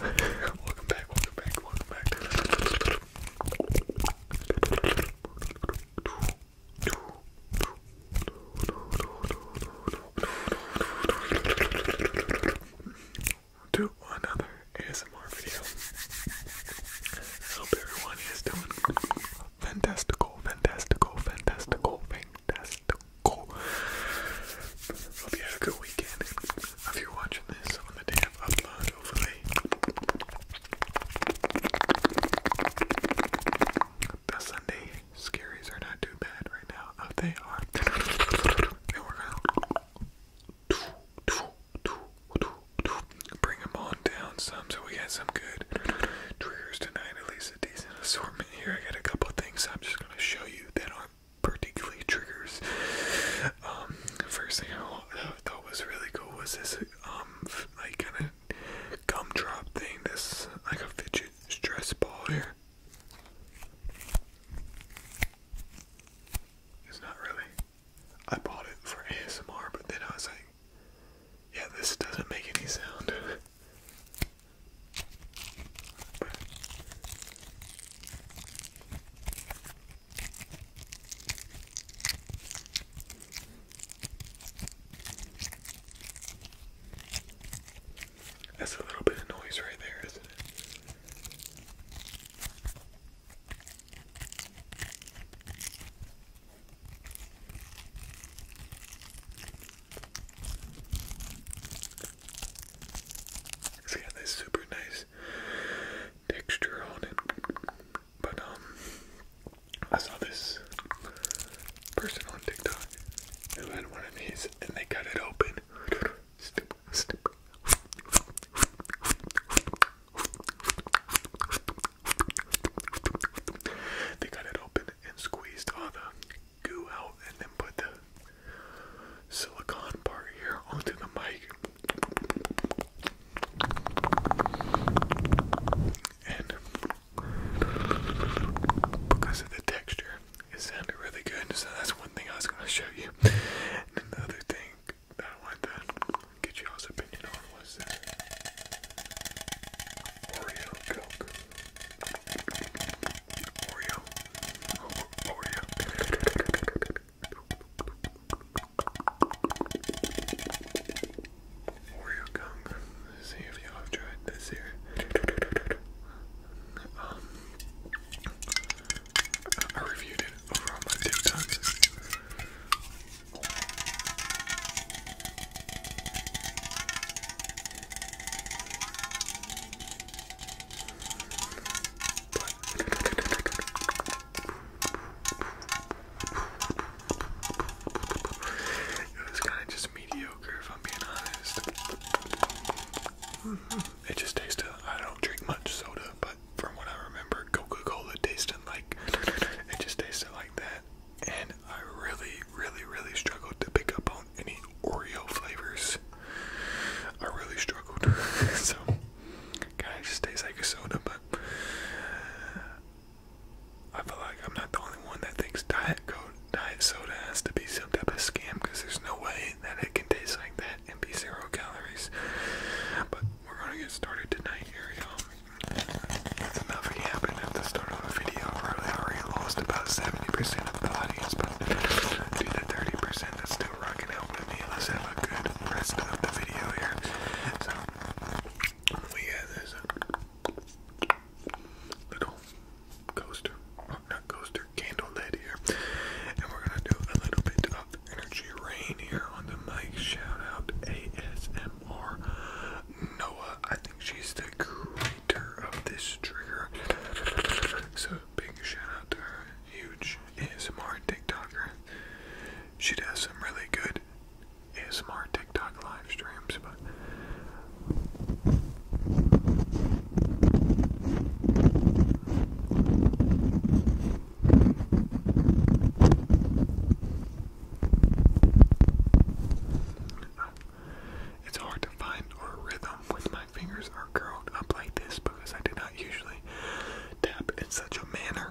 welcome back, welcome back, welcome back. To another ASMR video. hope everyone is doing fantastical, fantastical, fantastical, fantastical. Hope you had a good weekend if you're this on the day of upload, hopefully. The Sunday scaries are not too bad right now. Oh, they are. They work out. Bring them on down some so we get some good triggers tonight. At least a decent assortment here. I got a couple things I'm just going to show you that aren't particularly triggers. Um, first thing I thought was really cool was this um, like kind of gumdrop thing. This like a fidget stress ball here. It's not really. I bought it for ASMR, but then I was like, yeah, this doesn't make any sound. That's a little bit of noise right there, isn't it? It's super nice texture on it. But um I saw this person on TikTok who had one of these and they cut it open. They cut it open and squeezed all the goo out and then put the silicone part here onto the mic because of the texture, it sounded really good. So that's one thing I was going to show you. And another thing that I wanted to get y'all's opinion on was Oreo Coke. Oreo. Oreo. Oreo gum. Let's see if y'all have tried this here. Um, I reviewed it over on my TikTok. It was kind of just mediocre, if I'm being honest. It just tasted, I don't drink much soda, but from what I remember, Coca Cola tasted like, it just tasted like that. And I really, really, really struggled to pick up on any Oreo flavors. I really struggled. so, kind just tastes like a soda, but uh, I feel like I'm not the only one that thinks diet soda has to be some type of scam because there's no way that it can taste like that and be zero calories. But we're gonna get started tonight y'all. That's enough at the start of a video. I already lost about 70% of the audience, but do the 30% that's Let's have a good rest of the video here. So, we have this little coaster, oh, not coaster, candle lid here. And we're going to do a little bit of energy rain here on the mic. Shout out ASMR Noah. I think she's the creator of this trigger. So Big shout out to her, huge ASMR TikToker. She does some really good ASMR TikTok live streams, but. It's hard to find a rhythm when my fingers are curled up like this because I do not usually tap in such a manner.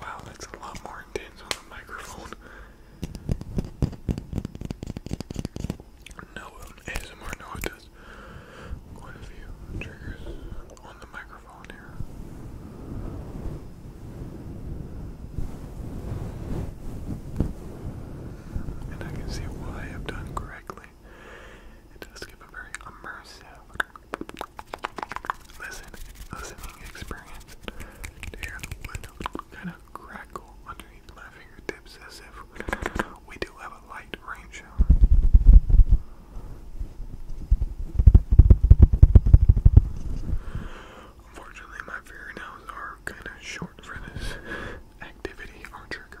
Wow, that's a lot more intense on the microphone. No um, ASMR, no, because quite a few triggers on the microphone here. And I can see what I have done correctly. It does give a very immersive listening experience hear the wood kind of crackle underneath my fingertips as if we do have a light rain shower. Unfortunately, my fingernails are kind of short for this activity or trigger.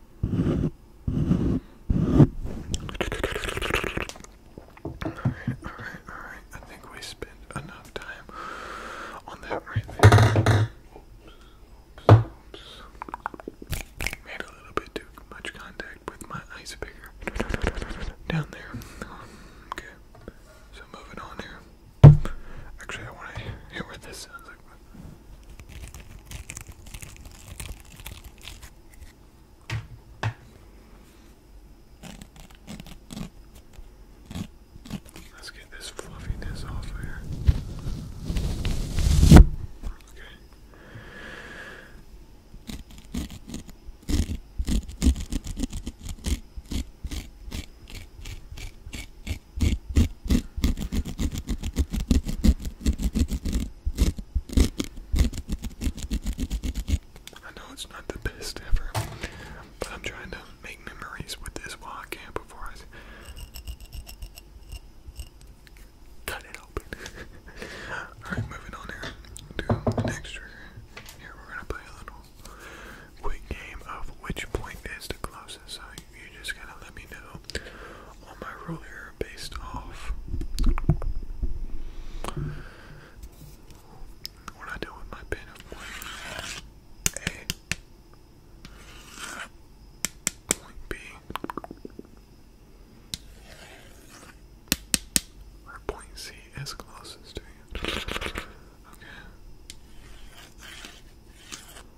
Alright, alright, alright. I think we spent enough time on that right there. Oops, oops. Made a little bit too much contact with my ice picker down there. okay, so moving on here. Actually, I want to hear what this Let's get this fluffiness off of here. Okay. I know it's not the best ever, but I'm trying to make memories with this while I can before I cut it open. Alright, moving on here to the next trigger. Here we're gonna play a little quick game of which point is the closest you just gotta let me know All my ruler based off what I do with my pen. A, point B, or point C is closest to you. Okay.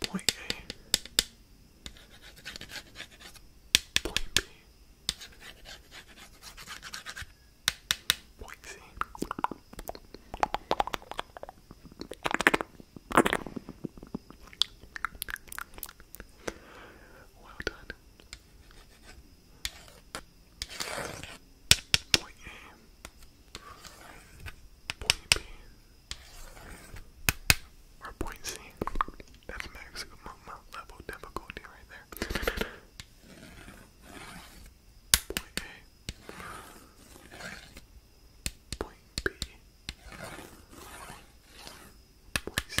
Point A, point B, point C. Well done. Point A, point B, or point C. That's maximum level difficulty right there. Point A, point B, point C.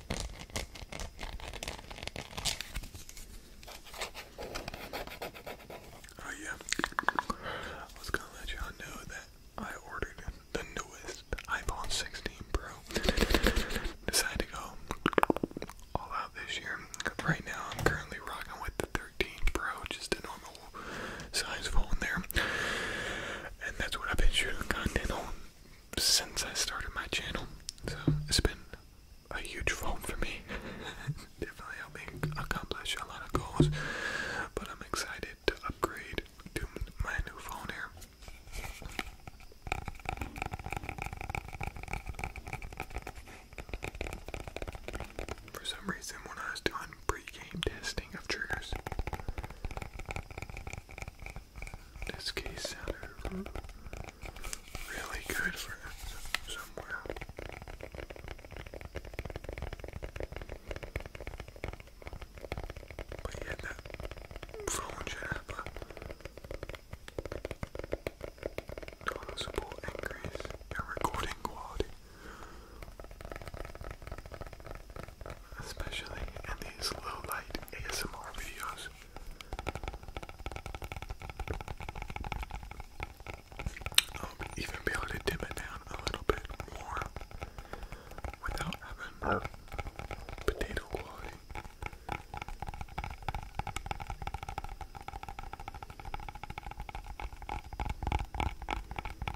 Oh yeah, I was gonna let y'all know that I ordered the newest iPhone 16 Pro. Decided to go all out this year. Right now, I'm currently rocking with the 13 Pro, just a normal size phone there, and that's what I've been shooting content on since I started my channel, so it's been a huge phone for me. Definitely helped me accomplish a lot of goals, but I'm excited to upgrade to my new phone here. For some reason, when I was doing pre game testing of triggers, this case sounded really good for somewhere. But yeah, that phone should noticeable increase in recording quality especially in these low light ASMR videos. I'll um, even able to dim it down a little bit more without having oh. potato quality.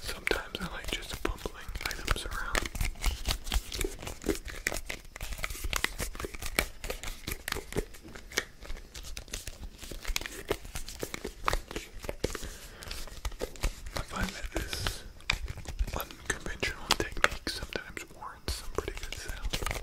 Sometimes I like just bumbling items around. I find that this unconventional technique sometimes warrants some pretty good sound.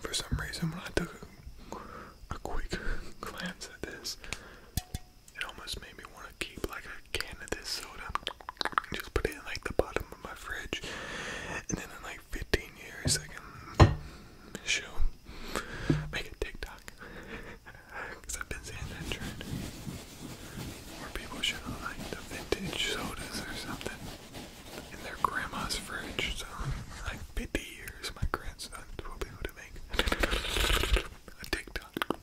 For some reason, when I took a, quick glance at this, it almost made me want to keep like a can of this soda, just put it in like the bottom of my fridge, and then in like 15 years, I can show, make a TikTok. Because I've been seeing that trend where people show like the vintage sodas or something in their grandma's fridge. So, like 50 years, my grandson will be able to make a TikTok of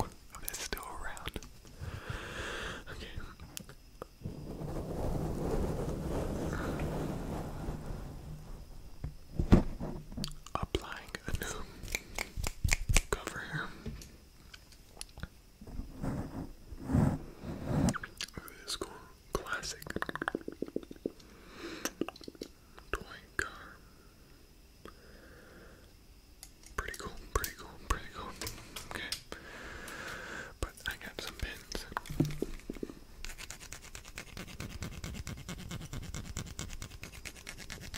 oh, still around. Applying a new cover here. This cool classic toy car. Pretty cool, pretty cool, pretty cool. Okay. But I got some pins.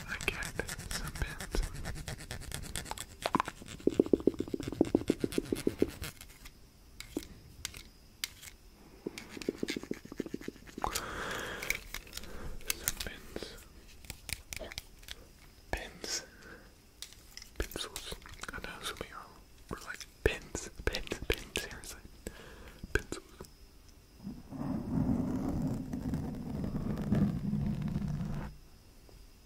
I got some pins. Some pins. Pins. Pencils. I know some of you like pins, pins, pins, seriously. Pencils.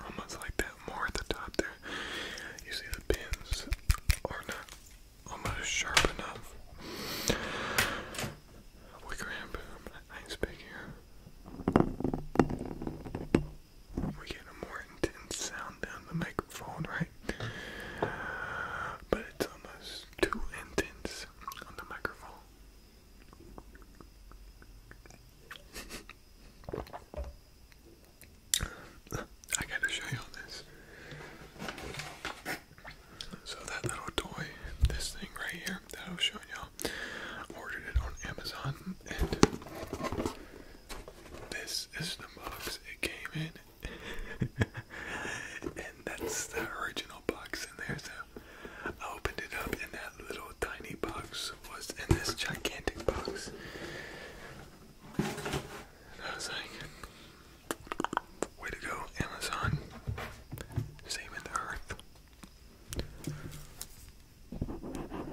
Almost like that more at the top there. You see the pins are not almost sharp enough. Wicker hand boom. Nice big here we get a more intense sound down the microphone, right? But it's almost too intense on the microphone. I gotta show you all this. So that little toy, this thing right here that I was showing y'all, ordered it on Amazon and this is the box it came in. and that's the original box in there. So I opened it up and that little tiny box was in this gigantic box. And I was like, way to go, Amazon. Saving the earth.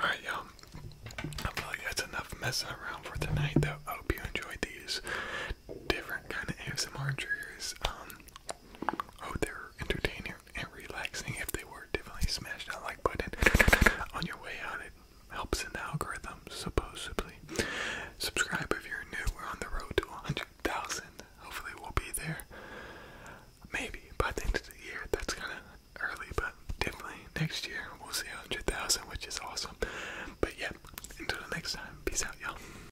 Alright, y'all. I feel like that's enough messing around for tonight, though. hope you enjoyed these different kind of ASMR triggers. Um, hope oh, they were entertaining and relaxing. If they were, definitely smash that like button on your way out. It helps in the algorithm, supposedly. Subscribe if you're new. We're on the road to 100,000. Hopefully, we'll be there. Maybe by the end of the year. That's kind of early, but definitely next year we'll see 100,000, which is awesome. But yeah, until next time, peace out, y'all.